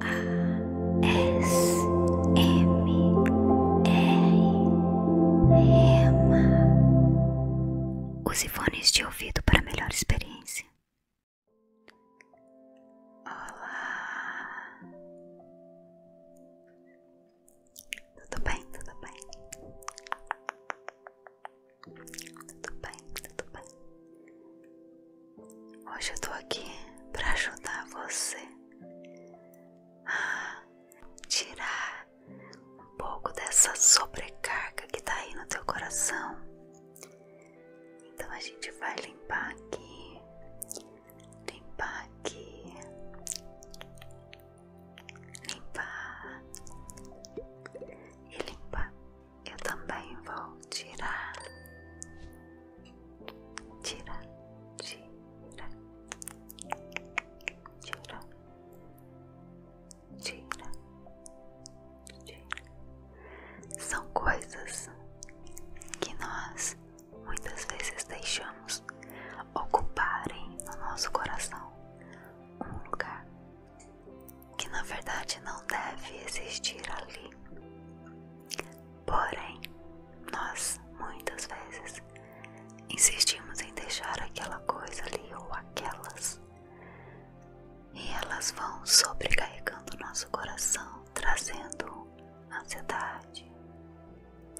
A Os fones de ouvido para melhor experiência. Olá! Tudo bem, tudo bem? Tudo bem, tudo bem? Hoje eu tô aqui para ajudar você a tirar um pouco dessa sobrecarga que tá aí no teu coração. Então a gente vai limpar aqui, limpar aqui, limpar e limpar eu também vou tirar, tira, tira, tira, tira, tira. São coisas que nós muitas vezes deixamos ocuparem no nosso coração um lugar que na verdade não deve existir ali. Porém, nós muitas vezes insistimos em deixar aquela coisa ali ou aquelas, e elas vão sobrecarregando nosso coração, trazendo ansiedade,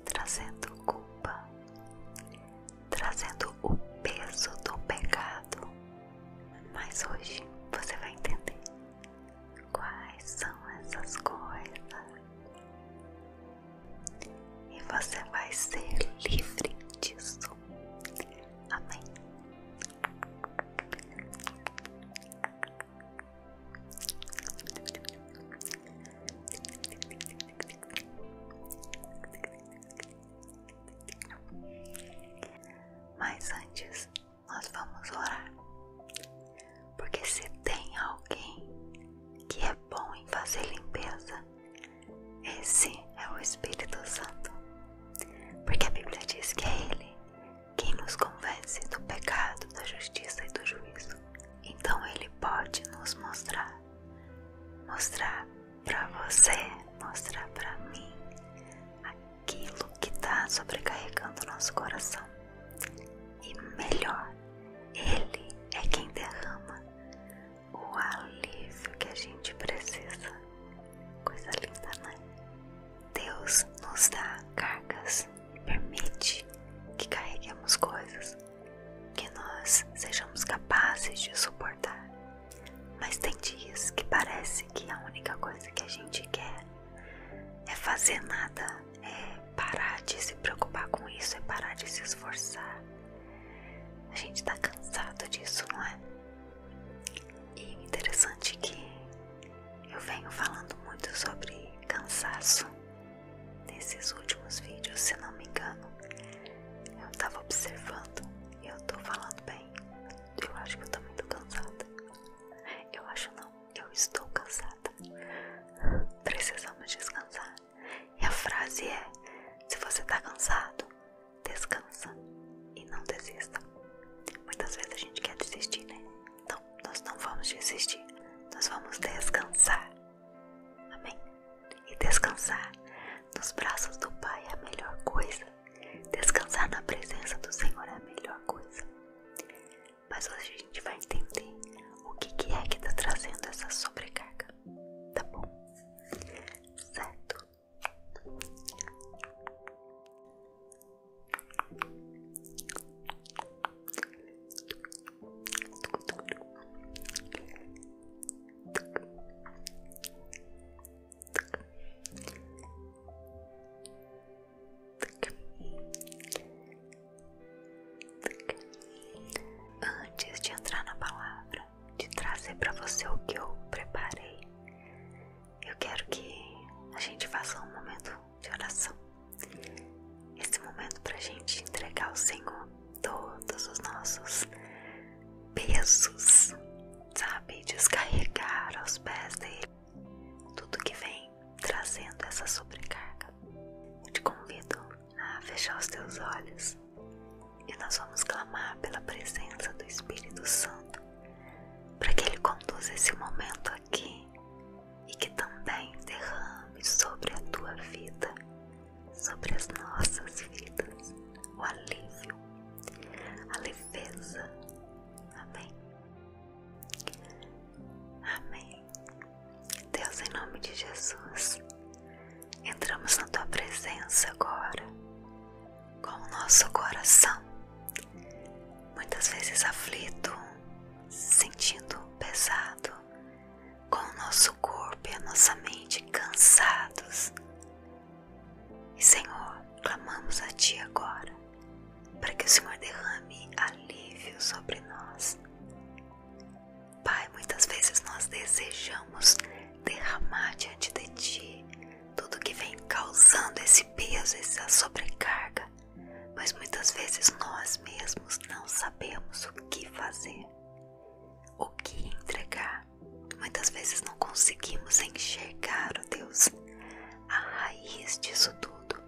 trazendo culpa, trazendo o peso do pecado. Mas hoje você vai entender Quais são essas coisas? E você vai ser livre disso. Amém. Mas antes nós vamos orar. Porque se tem alguém que é bom em fazer limpeza, esse é o Espírito Santo. Porque a Bíblia diz que é Ele quem nos convence do pecado, da justiça e do juízo. Então Ele pode nos mostrar, mostrar para você, mostrar para mim aquilo que está sobrecarregando nosso coração. E melhor, Ele é quem derrama o alívio que a gente precisa. Coisa linda, né? Deus nos dá cargas, e permite que carreguemos coisas que nós sejamos capazes de suportar. Mas tem dias que parece que a única coisa que a gente quer é fazer nada, é parar de se preocupar com isso, é parar de se esforçar. A gente tá cansado disso, não é? E interessante que eu venho falando muito sobre cansaço nesses últimos vídeos, se não me engano. Eu tava observando e eu tô falando bem. Eu acho que eu tô muito cansada. Eu acho não, eu estou cansada. Precisamos descansar. E a frase é: se você tá cansado, descansa e não desista. Muitas vezes a gente quer desistir, né? Então nós não vamos desistir. Nós vamos descansar. Amém? E descansar nos braços do Pai é a melhor coisa Descansar na presença do Senhor é a melhor coisa. Mas hoje a gente vai entender o que, que é que está trazendo essa sobrecarga, tá bom? Certo? Antes de entrar na palavra, de trazer para você o que eu preparei, eu quero que a gente faça um momento de oração. Esse momento para a gente entregar ao Senhor todos os nossos pesos, sabe? Descarregar aos pés dele tudo que vem trazendo essa sobrecarga. Eu te convido a fechar os teus olhos e nós vamos clamar pela presença do Espírito Santo para que ele conduza esse momento aqui e que também derrame sobre a tua vida, sobre as nossas vidas, o alívio, a leveza. Amém. Amém. Deus, em nome de Jesus, entramos na tua presença agora, com o nosso coração, muitas vezes aflito, sentindo pesado, com o nosso corpo e a nossa mente cansados, Senhor, clamamos a Ti agora, para que o Senhor derrame alívio sobre nós. Pai, muitas vezes nós desejamos derramar diante de Ti tudo que vem causando esse peso, essa sobrecarga, mas muitas vezes nós mesmos não sabemos o que fazer, o que entregar. Muitas vezes não conseguimos enxergar, ó oh Deus, a raiz disso tudo.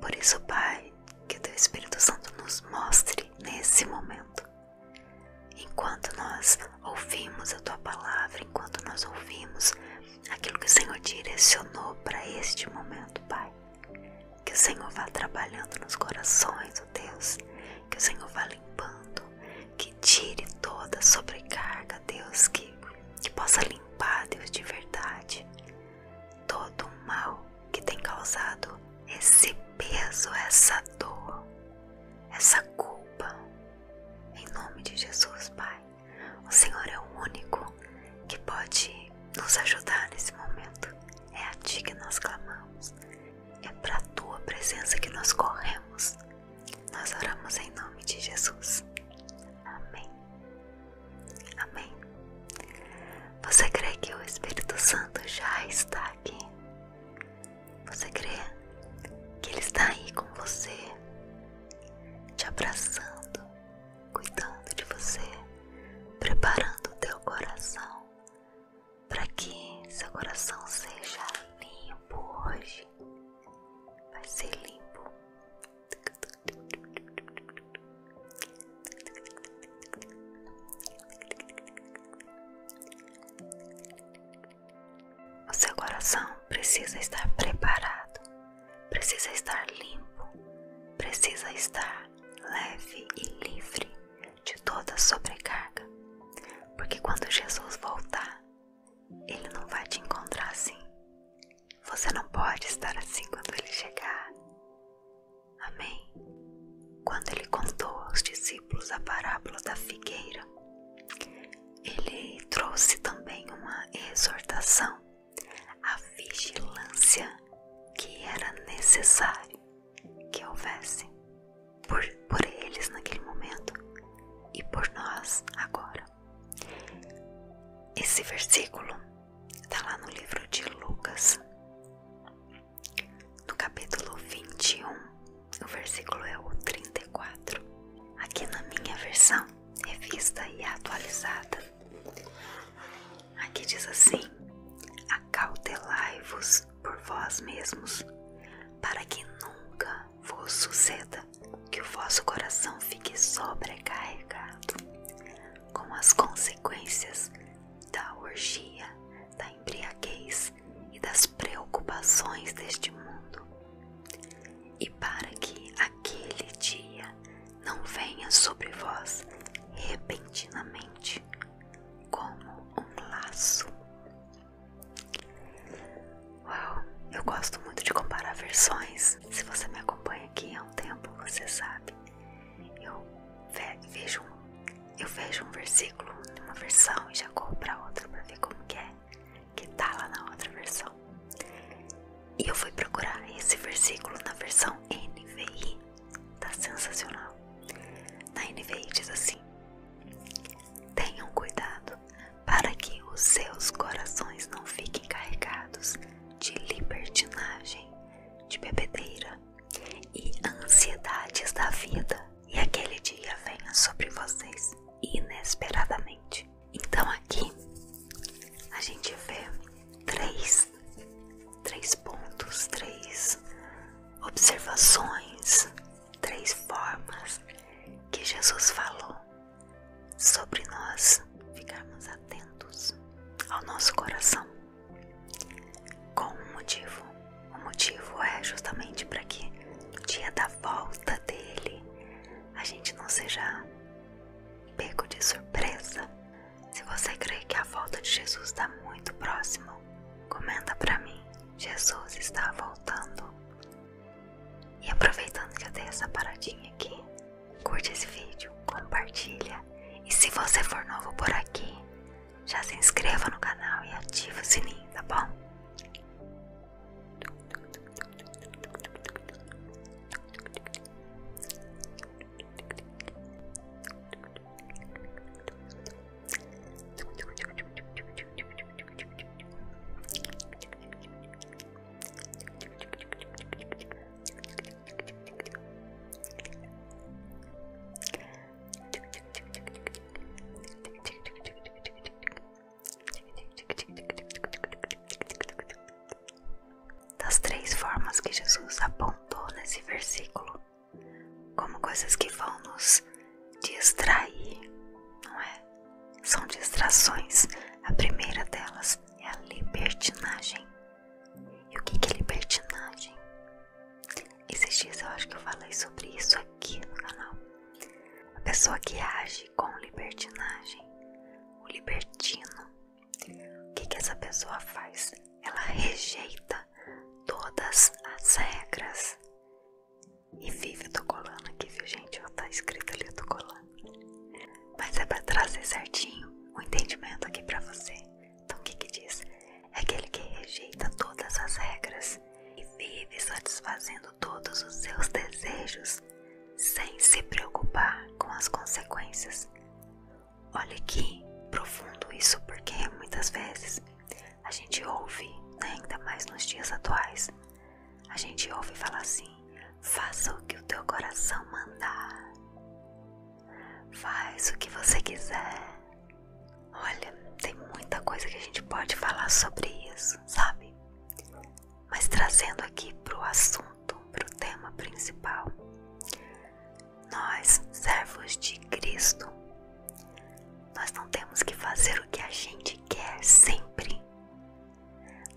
Por isso, Pai, que o Teu Espírito Santo nos mostre nesse momento. Enquanto nós ouvimos a Tua palavra, enquanto nós ouvimos aquilo que o Senhor direcionou para este momento, Pai, que o Senhor vá trabalhando nos corações, ó Deus, que o Senhor vá limpando, que tire toda sobrecarga, Deus, que possa limpar, Deus, de verdade, todo o mal que tem causado esse peso, essa dor, essa culpa. Em nome de Jesus, Pai, o Senhor é o único que pode nos ajudar nesse momento. É a Ti que nós clamamos, é para a Tua presença que nós corremos. Nós oramos em nome de Jesus. Amém. Amém. Você crê que o Espírito Santo já está aqui? Você crê que Ele está aí com você, te abraçando, cuidando de você, preparando o teu coração para que seu coração seja limpo hoje? vai ser limpo. O seu coração precisa estar preparado, precisa estar limpo, precisa estar leve e livre de toda sobrecarga, porque quando Jesus voltar, ele não vai te encontrar assim. Você não pode estar assim quando ele chegar. Amém? Quando ele contou aos discípulos a parábola da figueira, ele trouxe também uma exortação à vigilância que era necessário que houvesse por, por eles naquele momento e por nós agora. Esse versículo está lá no livro de Lucas, no capítulo 21, o versículo é o 34. Aqui na minha versão, revista e atualizada, aqui diz assim: Acautelai-vos por vós mesmos, para que nunca vos suceda que o vosso coração fique sobrecarregado com as consequências da orgia, da embriaguez e das preocupações deste mundo, e para que aquele dia não venha sobre vós repentinamente como um laço Uau, eu gosto muito de comparar versões. Se você me acompanha aqui há um tempo, você sabe. Eu vejo, um versículo numa versão e já corro para outra para ver como é que tá lá na outra versão. E eu fui procurar esse versículo na versão NVI. Tá sensacional. Na NVI diz assim: Tenham cuidado para que os seus corações não fiquem carregados de libertinagem, de bebedeira e ansiedades da vida, e aquele dia venha sobre vocês inesperadamente. Então aqui a gente vê três, três pontos, três observações, três formas que Jesus falou sobre nós ficarmos atentos ao nosso coração. Com um motivo. O motivo é justamente para que no dia da volta dele a gente não seja pego de surpresa. Se você crê que a volta de Jesus está muito próximo, comenta para mim. Jesus está voltando. E aproveitando que eu dei essa paradinha aqui, curte esse vídeo, compartilha e se você for novo por aqui, já se inscreva no canal e ativa o sininho, tá bom? Das três formas que Jesus apontou nesse versículo, como coisas que vão nos distrair, não é? são distrações. A primeira delas é a libertinagem. E o que é libertinagem? Esses eu acho que eu falei sobre isso aqui no canal. A pessoa que age com libertinagem, o libertino, o que, que essa pessoa faz? Ela rejeita todas as regras e vive, eu tô colando aqui, viu gente? Ó, tá escrito ali, eu tô colando. Mas é pra trazer certinho o um entendimento aqui pra você. Então o que que diz? É aquele que rejeita todas as regras e vive satisfazendo todos os seus desejos sem se preocupar com as consequências. Olha que profundo isso, porque muitas vezes a gente ouve, né, ainda mais nos dias atuais, a gente ouve falar assim: faça o que o teu coração mandar, faz o que você quiser. Olha, tem muita coisa que a gente pode falar sobre isso, sabe? Mas trazendo aqui pro assunto, pro tema principal. Nós, servos de Cristo, nós não temos que fazer o que a gente quer sempre.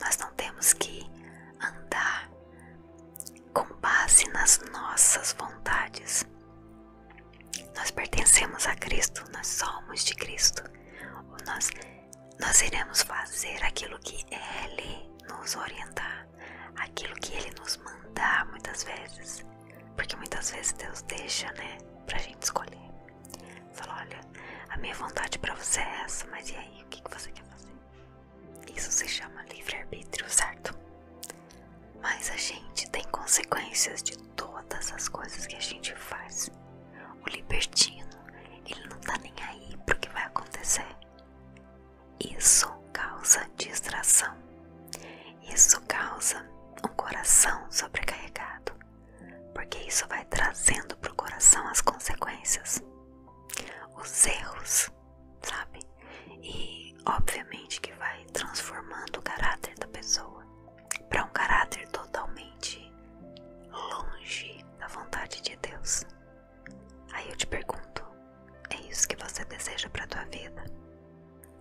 Nós não temos que andar com base nas nossas vontades. Nós pertencemos a Cristo, nós somos de Cristo. Nós, nós iremos fazer aquilo que Ele nos orientar, aquilo que Ele nos mandar muitas vezes. Porque muitas vezes Deus deixa, né? a gente escolher. Falou, olha, a minha vontade para você é essa, mas e aí, o que, que você quer fazer? Isso se chama livre-arbítrio, certo? Mas a gente tem consequências de todas as coisas que a gente faz. O libertino, ele não está nem aí para o que vai acontecer. Isso causa distração. Isso causa um coração sobrecarregado porque isso vai trazendo pro coração as consequências, os erros, sabe? E obviamente que vai transformando o caráter da pessoa para um caráter totalmente longe da vontade de Deus. Aí eu te pergunto, é isso que você deseja para tua vida?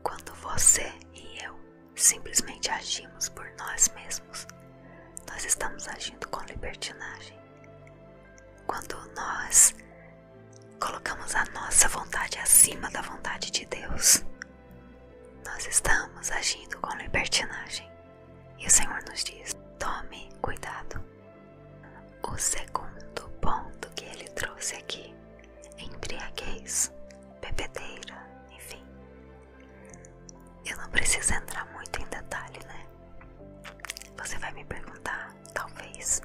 Quando você e eu simplesmente agimos por nós mesmos, nós estamos agindo com libertinagem. Quando nós colocamos a nossa vontade acima da vontade de Deus, nós estamos agindo com libertinagem. E o Senhor nos diz: tome cuidado. O segundo ponto que ele trouxe aqui: embriaguez, bebedeira, enfim, eu não preciso entrar muito em detalhe, né? Você vai me perguntar, talvez,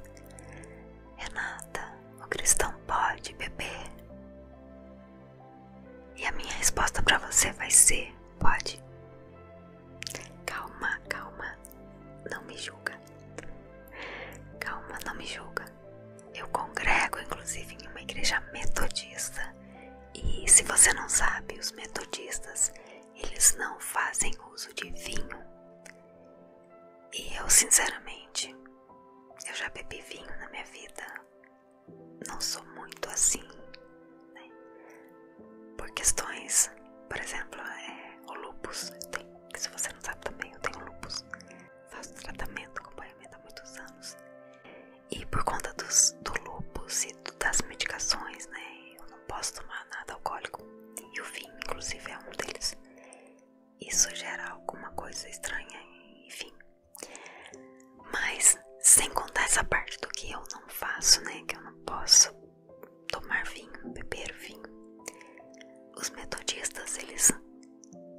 Renata, o cristão pode beber? E a minha resposta para você vai ser: pode. Calma, calma, não me julga. Calma, não me julga. Eu congrego, inclusive, em uma igreja metodista e se você não sabe, os metodistas, eles não fazem uso de vinho. E eu, sinceramente, eu já bebi vinho na minha vida. Não sou muito assim, né? Por questões, por exemplo, é, o lupus. se você não sabe também, eu tenho lupus. Faço tratamento, acompanhamento há muitos anos. E por conta dos, do lupus e das medicações, né? Eu não posso tomar nada alcoólico. E o vinho, inclusive, é um deles. Isso gera alguma coisa estranha, enfim. Mas, sem contar essa parte do que eu não faço, né? Que eu não posso tomar vinho, beber vinho. Os metodistas, eles.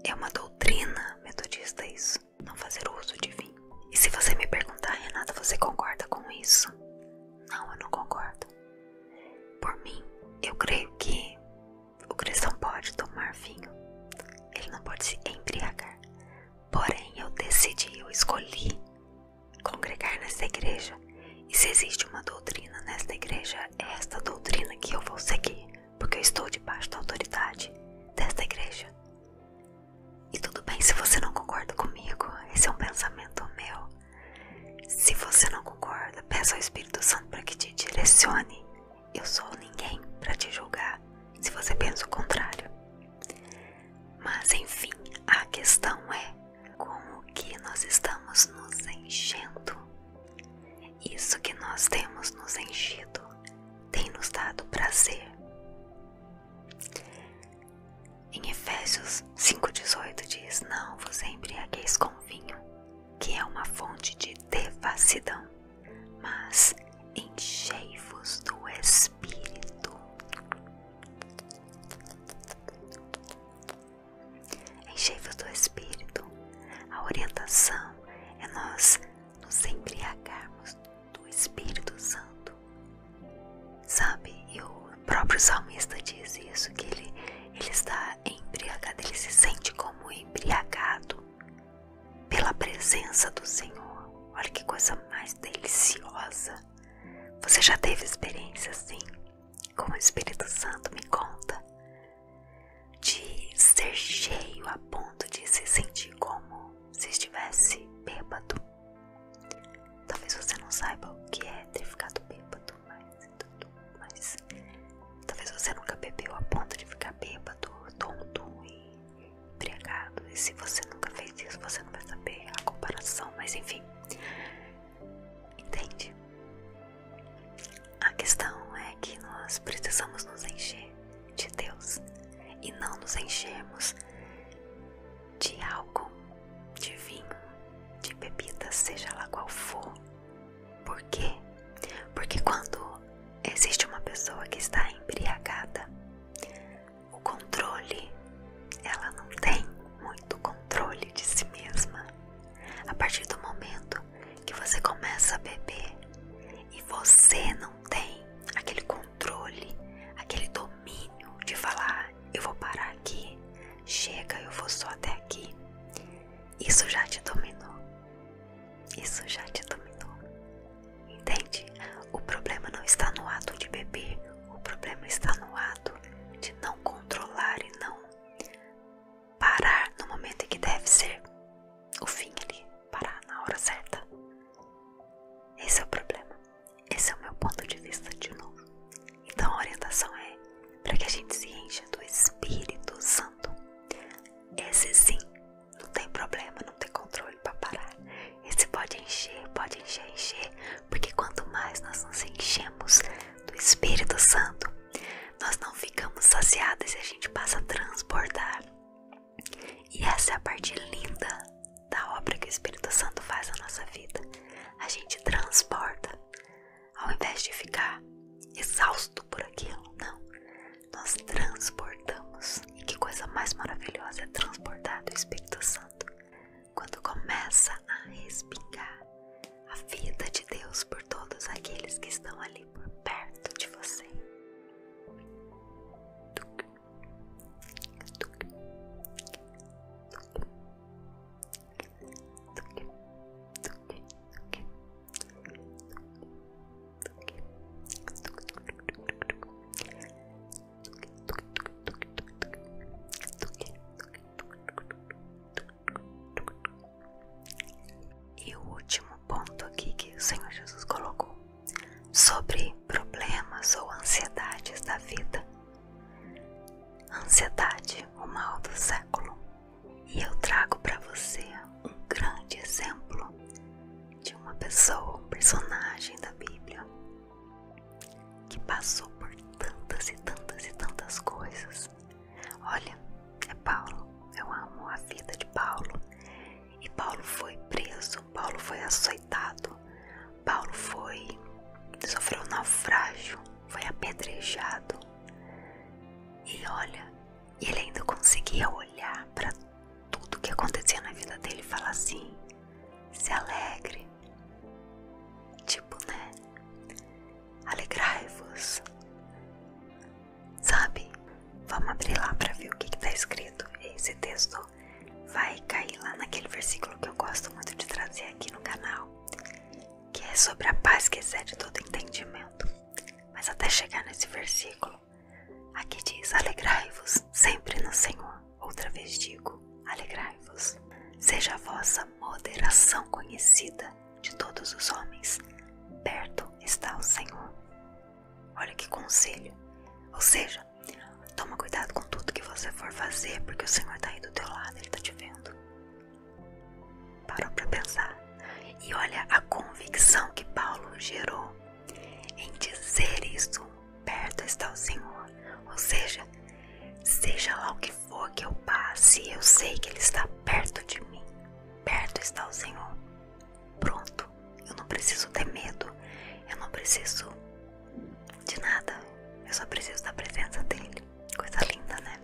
É uma doutrina metodista isso não fazer uso de vinho. E se você me perguntar, Renata, você concorda com isso? Não, eu não concordo. Por mim, eu creio que o cristão pode tomar vinho, ele não pode se embriagar. Porém, eu decidi, eu escolhi congregar nessa igreja. E se existe uma doutrina nesta igreja, é esta doutrina que eu vou seguir, porque eu estou debaixo da autoridade desta igreja. E tudo bem se você não concorda comigo, esse é um pensamento meu. Se você não concorda, peça ao Espírito Santo para que te direcione. Eu sou ninguém para te julgar se você pensa o contrário. Mas enfim, a questão é com o que nós estamos nos enchendo. Isso que nós temos nos enchido tem nos dado prazer. Em Efésios 5,18 diz: Não vos embriagueis com vinho, que é uma fonte de devassidão, mas enchei-vos do Espírito. Enchei-vos do Espírito. A orientação é nós nos embriagarmos do Espírito Santo. Sabe, e o próprio salmista diz isso, que ele, ele está embriagado, ele se sente como embriagado pela presença do Senhor. Olha que coisa mais deliciosa. Você já teve experiência assim? Com o Espírito Santo me conta. De ser cheio a ponto de se sentir como se estivesse bêbado. Talvez você não saiba o que é ter ficado bêbado, é mas, talvez você nunca bebeu a ponto de ficar bêbado, tonto e embriagado. E se você nunca fez isso, você não vai saber a comparação, mas enfim. Entende? A questão é que nós precisamos nos encher de Deus e não nos enchemos de álcool, de vinho, de bebida, seja lá qual for. Por quê? Porque quando existe uma pessoa que está embriagada, o controle, ela não tem muito controle de si mesma. A partir do momento que você começa a beber e você não tem aquele controle, aquele domínio de falar: eu vou parar aqui, chega, eu vou só até aqui. Isso já te dominou. Isso já te dominou. Entende? O problema não está no ato de beber, o problema está no ato de não controlar e não parar no momento em que deve ser o fim ali, parar na hora certa. Esse é o problema. Esse é o meu ponto de vista de novo. Então a orientação é para que a gente se encha do Espírito Santo. Esse sim, não tem problema, não tem controle para parar. Esse pode encher, pode encher, encher, porque quanto mais nós nos enchemos do Espírito Santo, nós não ficamos saciados e a gente passa a transbordar. E essa é a parte linda da obra que o Espírito Santo faz na nossa vida. A gente transporta, ao invés de ficar exausto por aquilo, não. Nós transportamos. E que coisa mais maravilhosa é transportar do Espírito Santo. Quando começa a respingar a vida de Deus por todos aqueles que estão ali por perto de você. E o último ponto aqui que o Senhor Jesus colocou sobre problemas ou ansiedades da vida. Ansiedade, o mal do século. E eu trago para você um grande exemplo de uma pessoa, personagem da Bíblia que passou por tantas e tantas e tantas coisas. Olha, é Paulo. Eu amo a vida de Paulo. E Paulo foi preso, Paulo foi açoitado, Paulo foi sofreu um naufrágio, foi apedrejado. E olha, ele ainda conseguia olhar para tudo que acontecia na vida dele e falar assim: se alegre. Tipo, né? Alegrai-vos. Sabe? Vamos abrir lá para ver o que está escrito. Esse texto vai cair lá naquele versículo que eu gosto muito de trazer aqui no canal, que é sobre a paz que excede todo entendimento. Mas até chegar nesse versículo, aqui diz: Alegrai-vos sempre no Senhor. Outra vez digo: Alegrai-vos. Seja a vossa moderação conhecida de todos os homens. Perto está o Senhor. Olha que conselho. Ou seja, toma cuidado com tudo que você for fazer, porque o Senhor está aí do teu lado, Ele está te vendo. Parou para pensar. E olha a convicção que Paulo gerou em dizer isso: perto está o Senhor. Ou seja, seja lá o que for que eu passe, eu sei que Ele está perto de mim. Perto está o Senhor. Pronto. Eu não preciso ter medo. Eu não preciso de nada. Eu só preciso da presença dele. Coisa linda, né?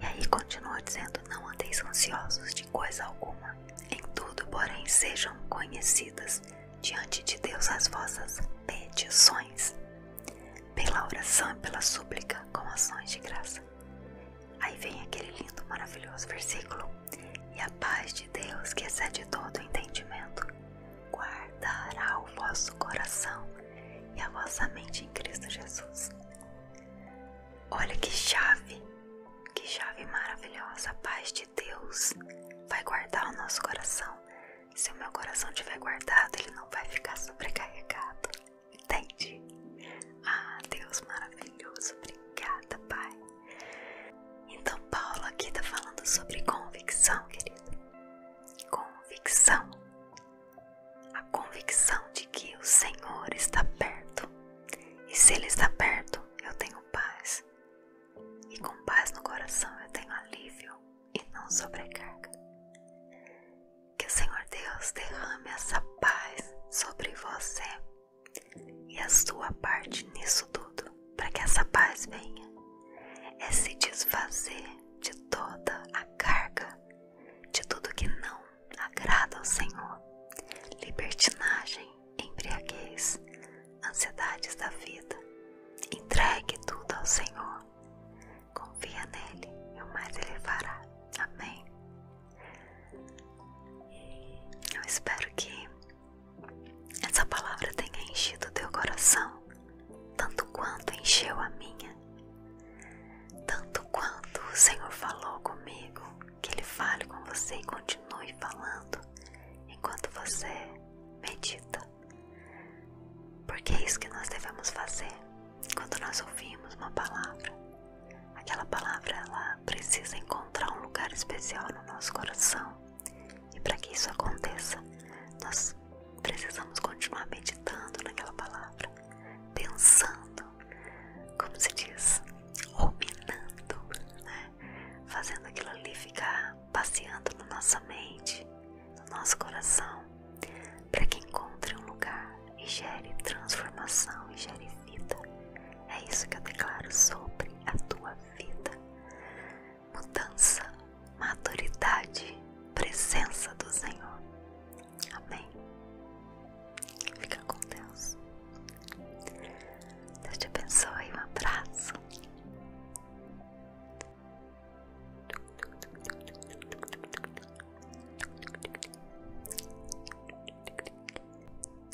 E aí continua dizendo: Não andeis ansiosos de coisa alguma. Em tudo, porém, sejam conhecidas diante de Deus as vossas petições, pela oração e pela súplica, com ações de graça. Aí vem aquele lindo, maravilhoso versículo. E a paz de Deus, que excede todo o entendimento, guardará o vosso coração e a vossa mente em Cristo Jesus. Olha que chave, que chave maravilhosa. A paz de Deus vai guardar o nosso coração. Se o meu coração tiver guardado, ele não vai ficar sobrecarregado. Entende? Ah, Deus maravilhoso maravilhoso. Obrigada, Pai. Então, Paulo aqui está falando sobre convicção, querido. Convicção. A convicção de que o Senhor está perto. E se Ele está perto, eu tenho paz. E com paz no coração eu tenho alívio e não sobrecarga. Que o Senhor Deus derrame essa paz sobre você e a sua parte nisso tudo, para que essa paz venha, é se desfazer de toda a carga, de tudo que não agrada ao Senhor, libertinagem, embriaguez, ansiedades da vida. Entregue tudo ao Senhor. Confia nele e o mais ele fará. Amém. Eu espero que essa palavra tenha enchido teu coração, tanto quanto encheu a minha, tanto quanto o Senhor falou comigo, que Ele fale com você e continue falando enquanto você medita. Porque é isso que nós devemos fazer quando nós ouvimos uma palavra. Aquela palavra ela precisa encontrar um lugar especial no nosso coração. E para que isso aconteça, nós precisamos continuar meditando naquela palavra, pensando, como se diz, ruminando, né? fazendo aquilo ali ficar passeando na nossa mente, no nosso coração, para que encontre um lugar e gere transformação e gere vida. É isso que eu declaro sobre a tua vida. Mudança, maturidade, presença do Senhor. Amém. Fica com Deus. Deus te abençoe. Um abraço.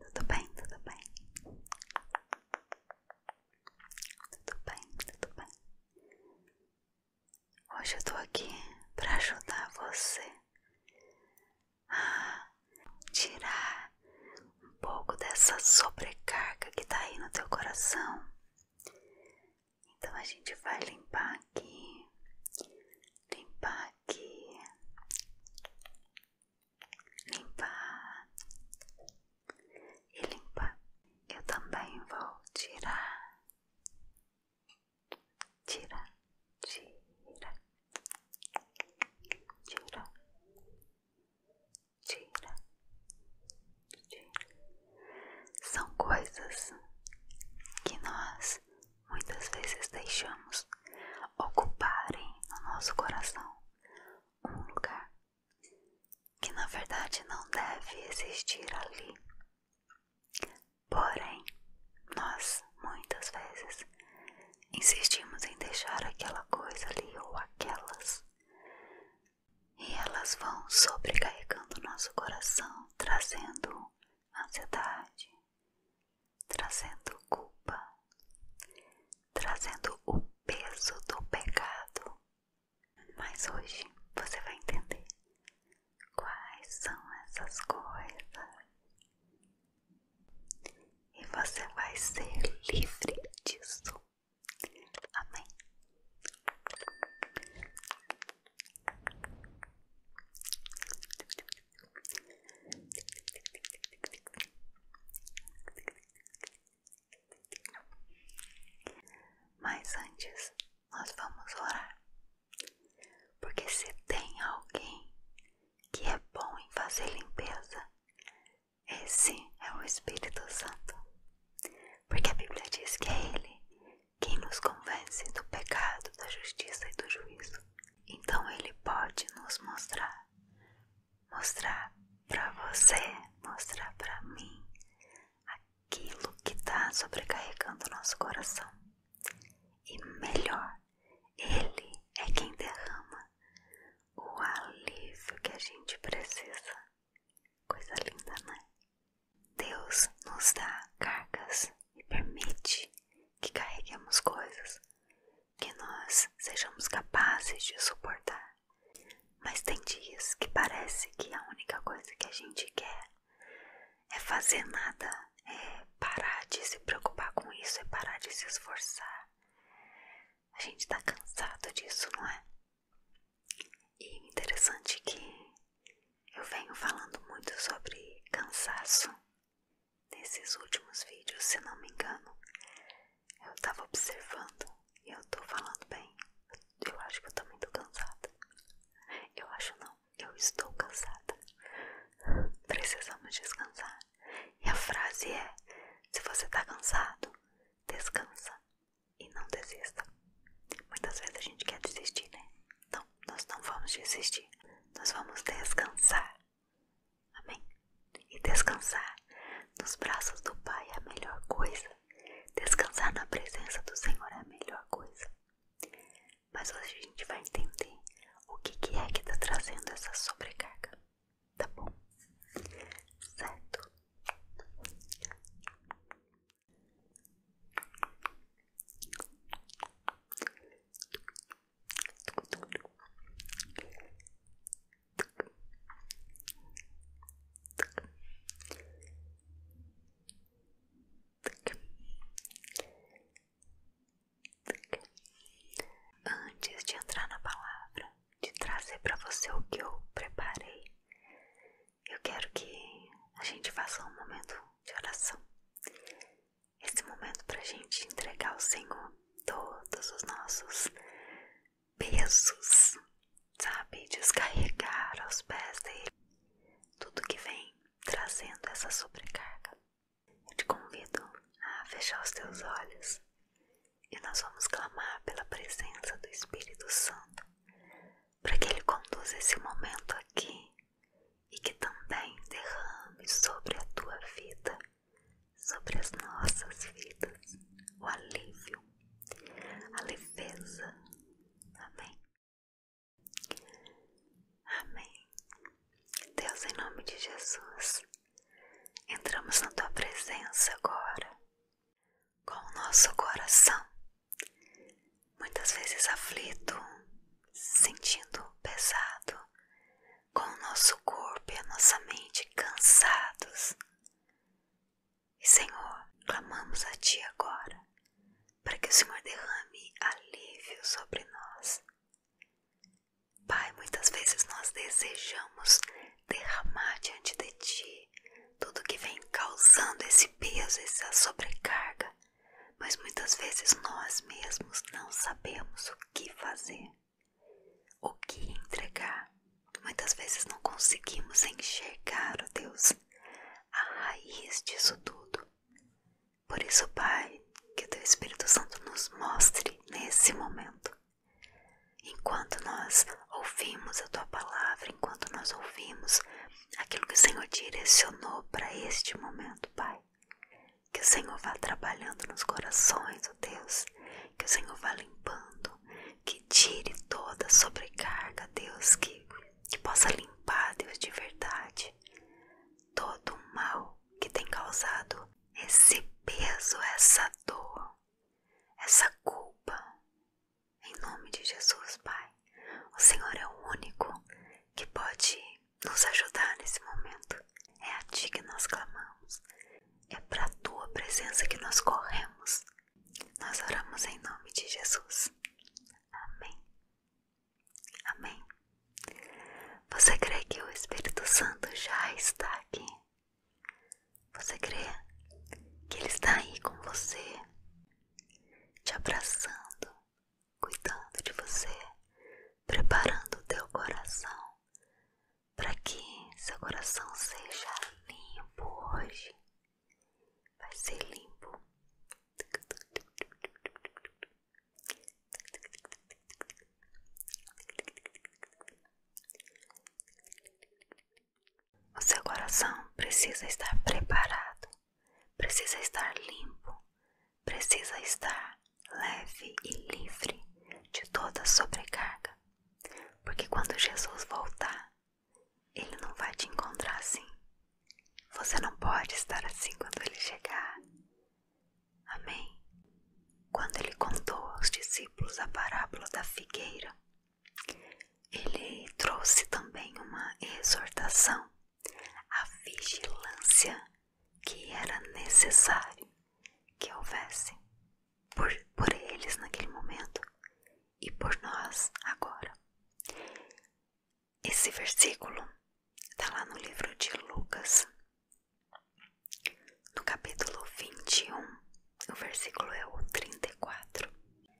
Tudo bem, tudo bem. Tudo bem, tudo bem. Hoje eu tô aqui para ajudar você a tirar um pouco dessa sobrecarga que tá aí no teu coração. Então a gente vai limpar aqui, limpar aqui, limpar e limpar. Eu também vou tirar, tirar, tirar, tirar, tirar, tirar. São coisas que nós muitas vezes deixamos ocuparem no nosso coração um lugar que na verdade não deve existir ali. Porém, nós muitas vezes insistimos em deixar aquela coisa ali ou aquelas, e elas vão sobrecarregando nosso coração, trazendo ansiedade, trazendo culpa, trazendo o peso do pecado. Mas hoje você vai entender quais são essas coisas e você vai ser livre disso. Amém. Mas antes, nós vamos orar. Porque se tem alguém que é bom em fazer limpeza, esse é o Espírito Santo. Porque a Bíblia diz que é Ele quem nos convence do pecado, da justiça e do juízo. Então ele pode nos mostrar, mostrar para você, mostrar para mim aquilo que está sobrecarregando o nosso coração. E melhor, ele é quem derrama o alívio que a gente precisa. Coisa linda, né? Deus nos dá cargas e permite que carreguemos coisas que nós sejamos capazes de suportar. Mas tem dias que parece que a única coisa que a gente quer é fazer nada, é parar de se preocupar com isso, é parar de se esforçar. A gente tá cansado disso, não é? E interessante que eu venho falando muito sobre cansaço Nesses últimos vídeos, se não me engano, eu tava observando e eu tô falando bem. Eu acho que eu também muito cansada. Eu acho não, eu estou cansada. Precisamos descansar. E a frase é: se você tá cansado, descansa e não desista. Muitas vezes a gente quer desistir, né? Não, nós não vamos desistir. Nós vamos descansar. Amém? E descansar nos braços do Pai é a melhor coisa. Descansar na presença do Senhor é a melhor coisa. Mas hoje a gente vai entender o que, é que está trazendo essa sobrecarga. Tá bom? Certo? Antes de entrar na palavra, de trazer para você o que eu preparei, eu quero que a gente faça um momento de oração esse momento para a gente entregar ao Senhor todos os nossos pesos, sabe? Descarregar aos pés dele tudo que vem trazendo essa sobrecarga. Eu te convido a fechar os teus olhos e nós vamos clamar pela presença do Espírito Santo para que ele conduza esse momento aqui e que também derrame sobre a tua vida, sobre as nossas vidas, o alívio, a leveza. Amém. Amém. Deus, em nome de Jesus, entramos na tua presença agora, com o nosso coração, muitas vezes aflito, sentindo pesado, com o nosso corpo e a nossa mente cansados. Senhor, clamamos a Ti agora, para que o Senhor derrame alívio sobre nós. Pai, muitas vezes nós desejamos derramar diante de Ti tudo que vem causando esse peso, essa sobrecarga, mas muitas vezes nós mesmos não sabemos o que fazer, o que entregar. Muitas vezes não conseguimos enxergar, ó Deus, a raiz disso tudo. Por isso, Pai, que o Teu Espírito Santo nos mostre nesse momento. Enquanto nós ouvimos a Tua palavra, enquanto nós ouvimos aquilo que o Senhor direcionou para este momento, Pai que o Senhor vá trabalhando nos corações, ó Deus. Que o Senhor vá limpando. Que tire toda sobrecarga, Deus. Que, que possa limpar, Deus, de verdade. Todo o mal que tem causado esse peso, essa dor, essa culpa. Em nome de Jesus, Pai. O Senhor é o único que pode nos ajudar nesse momento. É a Ti que nós clamamos, é para a Tua presença que nós corremos. Nós oramos em nome de Jesus. Amém. Amém. Você crê que o Espírito Santo já está aqui? Você crê que Ele está aí com você, te abraçando, cuidando de você, preparando o teu coração para que seu coração seja limpo hoje. Vai ser limpo. O seu coração precisa estar preparado, precisa estar limpo precisa estar leve e livre de toda sobrecarga, porque quando Jesus voltar, ele não vai te encontrar assim. Você não pode estar assim quando ele chegar. Amém. Quando ele contou aos discípulos a parábola da figueira, ele trouxe também uma exortação a vigilância que era necessário que houvesse por, por eles naquele momento e por nós agora. Esse versículo está lá no livro de Lucas, no capítulo 21, o versículo é o 34.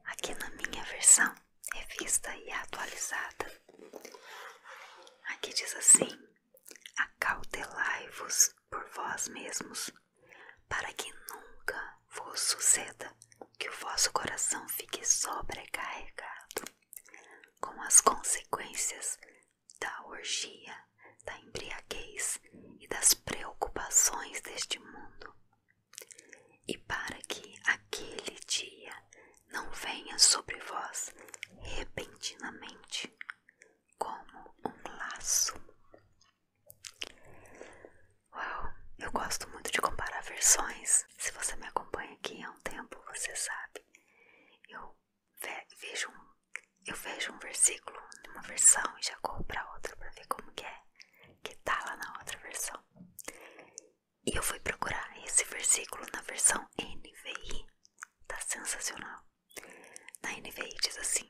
Aqui na minha versão, revista e atualizada, aqui diz assim: acautelai-vos por vós mesmos, para que nunca vos suceda que o vosso coração fique sobrecarregado com as consequências da orgia, da embriaguez e das preocupações deste mundo, e para que aquele dia não venha sobre vós repentinamente como um laço. Uau, eu gosto muito de comparar versões. Se você me acompanha aqui há um tempo, você sabe. Eu vejo um, eu vejo um versículo numa versão e já corro para a outra para ver como que é que tá lá na outra versão. E eu fui procurar esse versículo na versão NVI Tá sensacional. Na NVI diz assim: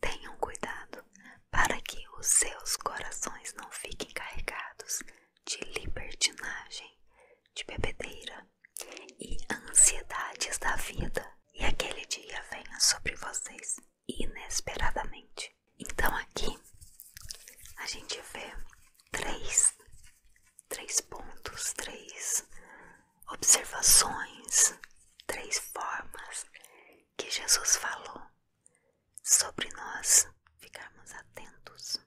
Tenham cuidado para que os seus corações não fiquem carregados de libertinagem, de bebedeira e ansiedades da vida, e aquele dia venha sobre vocês inesperadamente. Então aqui a gente vê três três pontos, três observações, três formas que Jesus falou sobre nós ficarmos atentos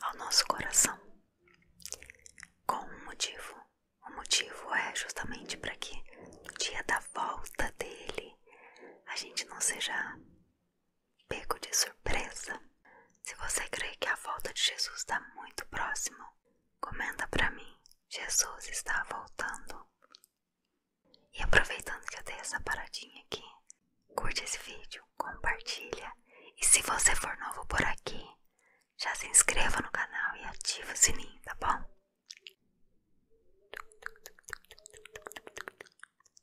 ao nosso coração. Com um motivo. O motivo é justamente para que no dia da volta dele a gente não seja pego de surpresa. Se você crê que a volta de Jesus está muito próximo, comenta para mim: Jesus está voltando. E aproveitando que eu dei essa paradinha aqui, curte esse vídeo, compartilha e se você for novo por aqui, já se inscreva no canal e ativa o sininho, tá bom?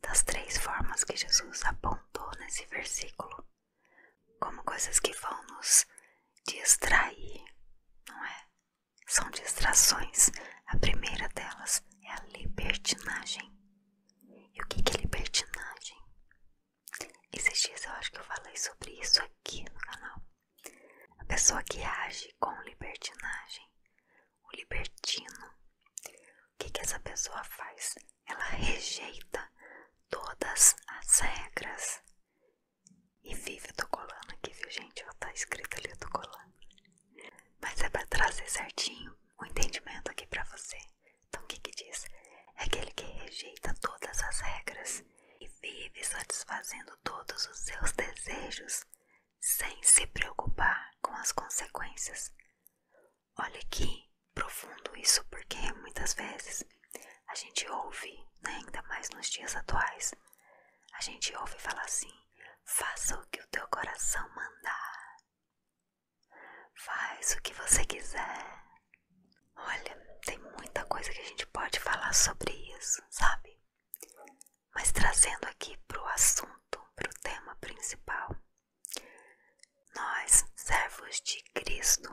Das três formas que Jesus apontou nesse versículo, como coisas que vão nos distrair, não é? São distrações. A primeira delas é a libertinagem. E o que é libertinagem? Esses dias eu acho que eu falei sobre isso aqui no canal. A pessoa que age com libertinagem, o libertino, o que, que essa pessoa faz? ela rejeita todas as regras e vive tô colando aqui, viu gente? Ó, tá escrito ali tô colando Mas é pra trazer certinho o entendimento aqui pra você. Então o que que diz? É aquele que rejeita todas as regras e vive satisfazendo todos os seus desejos sem se preocupar com as consequências. Olha que profundo isso, porque muitas vezes a gente ouve, né, ainda mais nos dias atuais, a gente ouve falar assim: faça o que o teu coração mandar, faz o que você quiser. Olha, tem muita coisa que a gente pode falar sobre isso, sabe? Mas trazendo aqui para o assunto, para o tema principal, nós, servos de Cristo,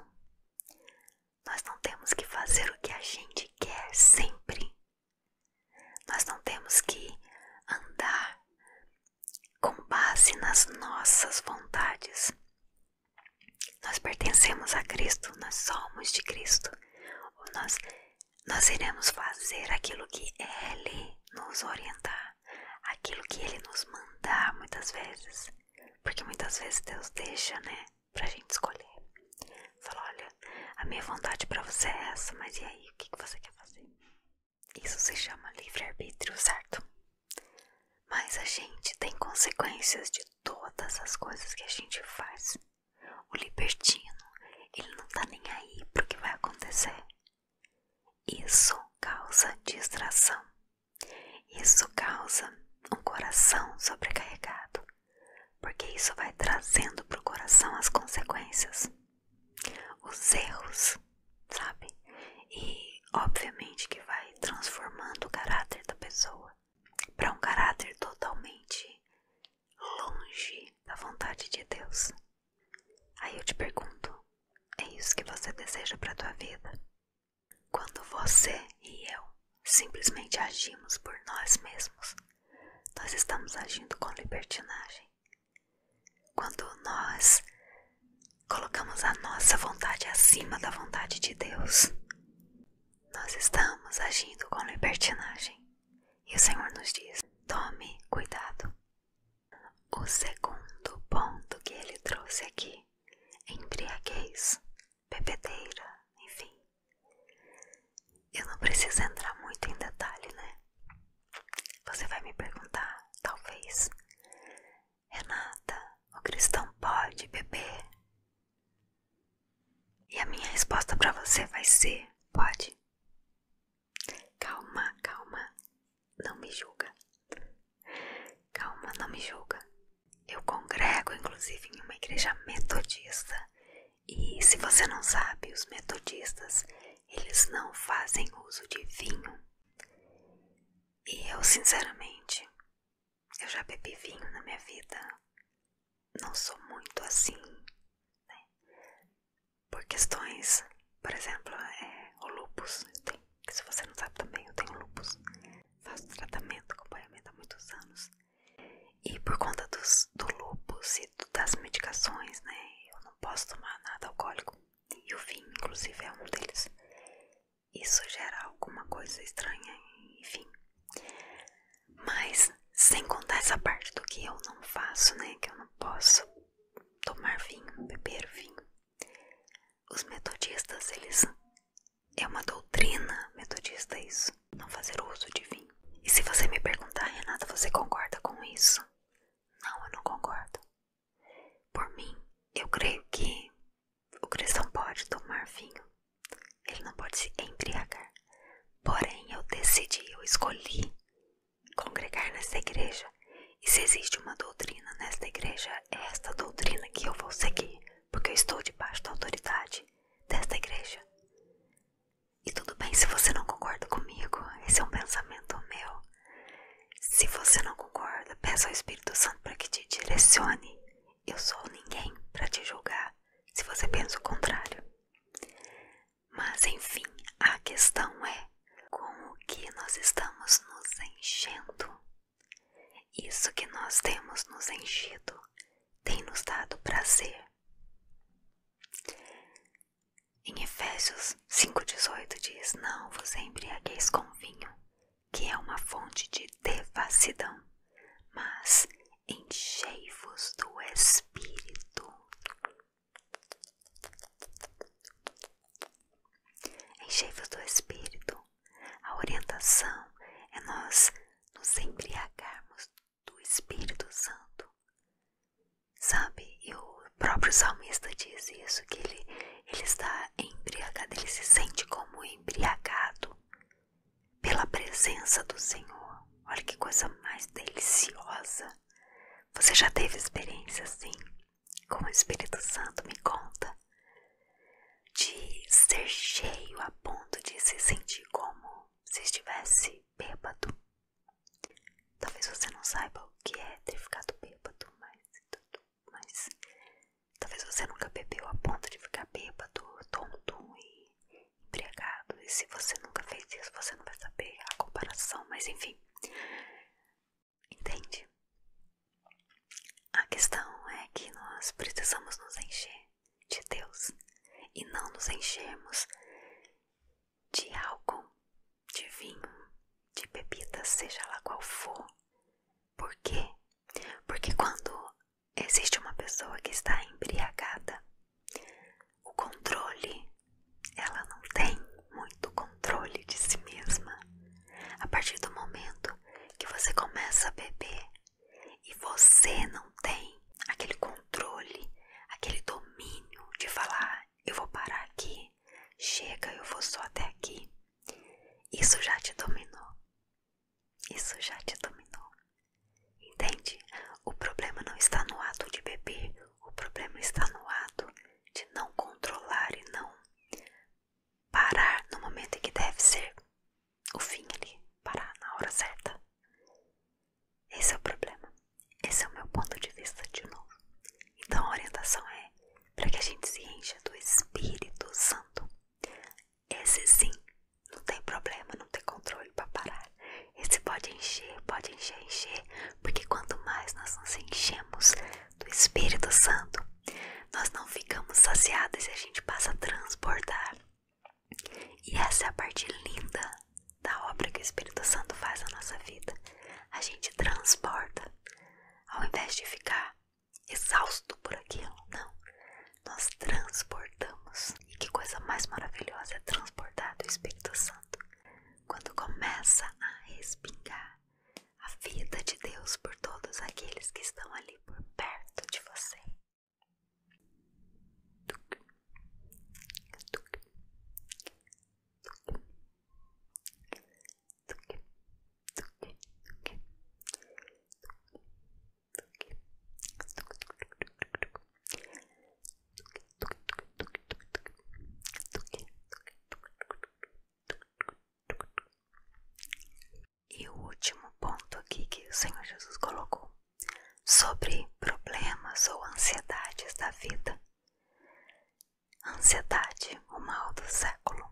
nós não temos que fazer o que a gente quer sempre. Nós não temos que andar com base nas nossas vontades. Nós pertencemos a Cristo, nós somos de Cristo. Nós, iremos fazer aquilo que Ele nos orientar aquilo que Ele nos mandar muitas vezes, porque muitas vezes Deus deixa, né, pra gente escolher. Fala, olha, a minha vontade para você é essa, mas e aí, o que, que você quer fazer? Isso se chama livre-arbítrio, certo? Mas a gente tem consequências de todas as coisas que a gente faz. O libertino, ele não tá nem aí pro que vai acontecer. Isso causa distração. Isso causa um coração sobrecarregado, porque isso vai trazendo para o coração as consequências, os erros, sabe? E obviamente que vai transformando o caráter da pessoa para um caráter totalmente longe da vontade de Deus. Aí eu te pergunto: é isso que você deseja para tua vida? Quando você e eu simplesmente agimos por nós mesmos, nós estamos agindo com libertinagem. Quando nós colocamos a nossa vontade acima da vontade de Deus, nós estamos agindo com libertinagem. E o Senhor nos diz: tome cuidado. O segundo ponto que ele trouxe aqui: embriaguez, bebedeira, enfim. Eu não preciso entrar muito em detalhe, né? Você vai me perguntar, talvez, Renata, o cristão pode beber? E a minha resposta para você vai ser: pode. Calma, calma, não me julga. Calma, não me julga. Eu congrego, inclusive, em uma igreja metodista. E se você não sabe, os metodistas, eles não fazem uso de vinho. E eu, sinceramente, eu já bebi vinho na minha vida. Não sou muito assim, né? por questões, por exemplo, é, o lupus. Eu tenho, que se você não sabe também, eu tenho lupus. Faço tratamento, acompanhamento há muitos anos. E por conta dos, do lupus e das medicações, né? Eu não posso tomar nada alcoólico. E o vinho, inclusive, é um deles. Isso gera alguma coisa estranha, enfim. Mas, sem contar essa parte do que eu não faço, né? Que eu não posso tomar vinho, beber vinho. Os metodistas, eles é uma doutrina metodista isso, não fazer uso de vinho. E se você me perguntar, Renata, você concorda com isso? Não, eu não concordo. Por mim, eu creio que o cristão pode tomar vinho. Ele não pode se embriagar. Porém, eu decidi, eu escolhi congregar nesta igreja. E se existe uma doutrina nesta igreja, é esta doutrina que eu vou seguir, porque eu estou debaixo da autoridade desta igreja. E tudo bem se você não concorda comigo, esse é um pensamento meu. Se você não concorda, peça ao Espírito Santo para que te direcione. Eu sou ninguém para te julgar se você pensa o contrário. Mas enfim, a questão é com o que nós estamos nos enchendo. Isso que nós temos nos enchido tem nos dado prazer. Em Efésios 5,18 diz: Não vos embriagueis com vinho, que é uma fonte de devassidão, mas enchei-vos do Espírito. Enchei-vos do Espírito. A orientação é nós nos embriagarmos do Espírito Santo. Sabe, e o próprio salmista diz isso, que ele está embriagado, ele se sente como embriagado pela presença do Senhor. Olha que coisa mais deliciosa. Você já teve experiência assim? como o Espírito Santo me conta, de ser cheio a ponto de se sentir como se estivesse bêbado. Talvez você não saiba o que é ter ficado bêbado, mas, talvez você nunca bebeu a ponto de ficar bêbado, tonto e embriagado. E se você nunca fez isso, você não vai saber a comparação, mas enfim. Entende? A questão é que nós precisamos nos encher de Deus e não nos enchermos de álcool, de vinho, de bebida, seja lá qual for. Por quê? Porque quando existe uma pessoa que está embriagada, o controle ela não tem muito controle de si mesma. A partir do momento que você começa a beber e você não tem aquele controle, aquele domínio de falar: eu vou parar aqui, chega, eu vou só até aqui. Isso já te dominou. Isso já te dominou. Entende? O problema não está no ato de beber, o problema está no ato de não controlar e não parar no momento em que deve ser o fim ali, parar na hora certa. Esse é o problema. Esse é o meu ponto de vista de novo. Então a orientação é para que a gente se encha do Espírito Santo. Esse sim, não tem problema, não tem controle para parar. Esse pode encher, pode encher, encher, porque quanto mais nós nos enchemos do Espírito Santo, nós não ficamos saciados e a gente passa a transportar. E essa é a parte linda da obra que o Espírito Santo faz na nossa vida. A gente transporta. Ao invés de ficar exausto por aquilo, não. Nós transportamos. E que coisa mais maravilhosa é transbordar do Espírito Santo quando começa a espingar a vida de Deus por todos aqueles que estão ali por perto de você. E o último ponto aqui que o Senhor Jesus colocou sobre problemas ou ansiedades da vida. Ansiedade, o mal do século.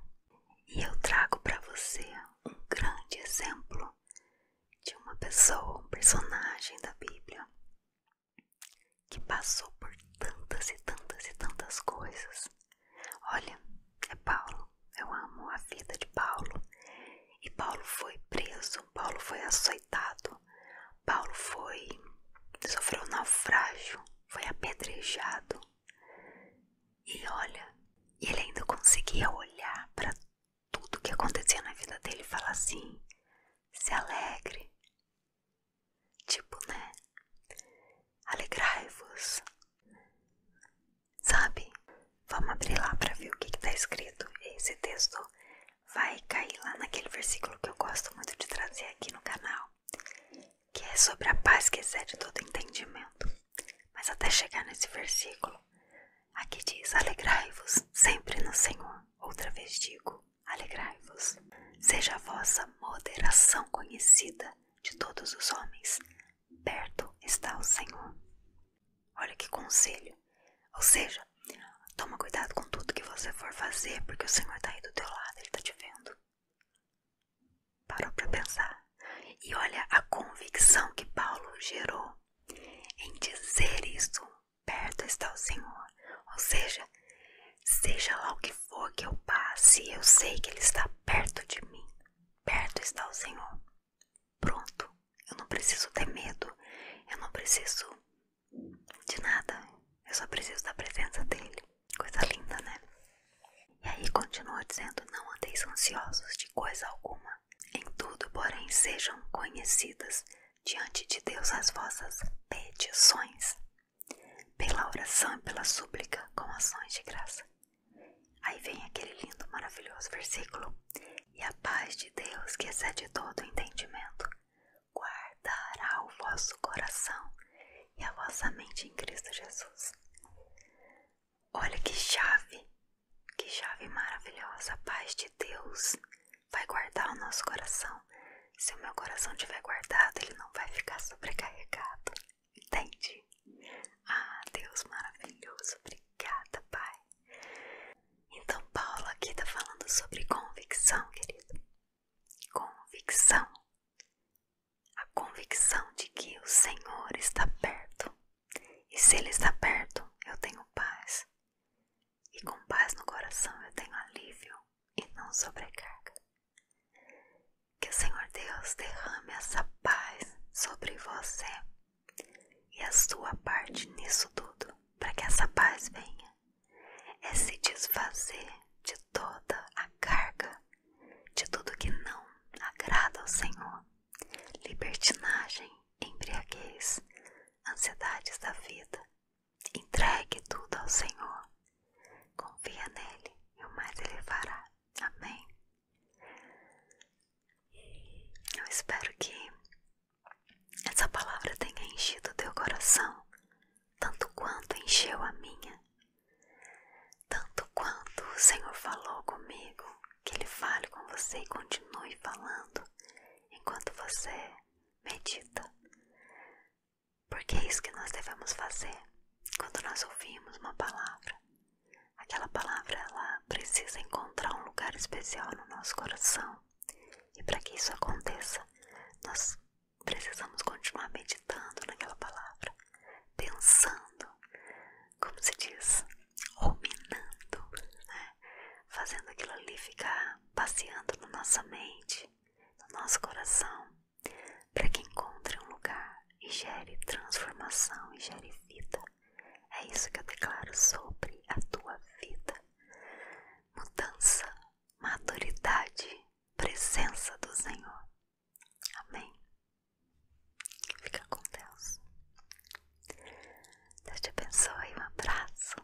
E eu trago para você um grande exemplo de uma pessoa, um personagem da Bíblia que passou por tantas e tantas e tantas coisas. Olha, é Paulo, eu amo a vida de Paulo. E Paulo foi preso, Paulo foi açoitado, Paulo foi sofreu um naufrágio, foi apedrejado. E olha, ele ainda conseguia olhar para tudo que acontecia na vida dele e falar assim: se alegre, Tipo, né? Alegrai-vos. Sabe? Vamos abrir lá pra ver o que, que tá escrito. Esse texto vai cair lá naquele versículo que eu gosto muito de trazer aqui no canal. Que é sobre a paz que excede todo entendimento. Mas até chegar nesse versículo, aqui diz: Alegrai-vos sempre no Senhor. Outra vez digo: alegrai-vos. Seja a vossa moderação conhecida de todos os homens, perto está o Senhor. Olha que conselho! Ou seja, toma cuidado com tudo que você for fazer, porque o Senhor está aí do teu lado, Ele está te vendo. Parou para pensar. E olha a convicção que Paulo gerou em dizer isso perto está o Senhor. Ou seja, seja lá o que for que eu passe, eu sei que Ele está perto de mim. Perto está o Senhor. Pronto, eu não preciso ter medo, eu não preciso de nada, eu só preciso da presença dEle. Coisa linda, né? E aí continua dizendo: Não andeis ansiosos de coisa alguma. Em tudo, porém, sejam conhecidas diante de Deus as vossas petições pela oração e pela súplica com ações de graça. Aí vem aquele lindo, maravilhoso versículo. E a paz de Deus, que excede todo entendimento, guardará o vosso coração e a vossa mente em Cristo Jesus. Olha que chave, que chave maravilhosa, a paz de Deus vai guardar o nosso coração. Se o meu coração tiver guardado, ele não vai ficar sobrecarregado. Entende? Ah, Deus maravilhoso, obrigada, Pai. Então, Paulo aqui está falando sobre convicção, querido. Convicção. A convicção de que o Senhor está perto. E se Ele está perto, eu tenho paz e com paz no coração eu tenho alívio e não sobrecarga. Que o Senhor Deus derrame essa paz sobre você e a sua parte nisso tudo, para que essa paz venha. É se desfazer de toda a carga, de tudo que não agrada ao Senhor, libertinagem, embriaguez, ansiedades da vida Entregue tudo ao Senhor. Confia nele e o mais ele fará. Amém. Eu espero que essa palavra tenha enchido teu coração, tanto quanto encheu a minha. Tanto quanto o Senhor falou comigo, que Ele fale com você e continue falando enquanto você medita porque é isso que nós devemos fazer quando nós ouvimos uma palavra. Aquela palavra ela precisa encontrar um lugar especial no nosso coração. E para que isso aconteça, nós precisamos continuar meditando naquela palavra, pensando, como se diz, ruminando, né? fazendo aquilo ali ficar passeando na nossa mente, no nosso coração, para que encontre um lugar e gere transformação e gere vida. É isso que eu declaro sobre a tua vida. Mudança, maturidade, presença do Senhor. Amém. Fica com Deus. Deus te abençoe. Um abraço.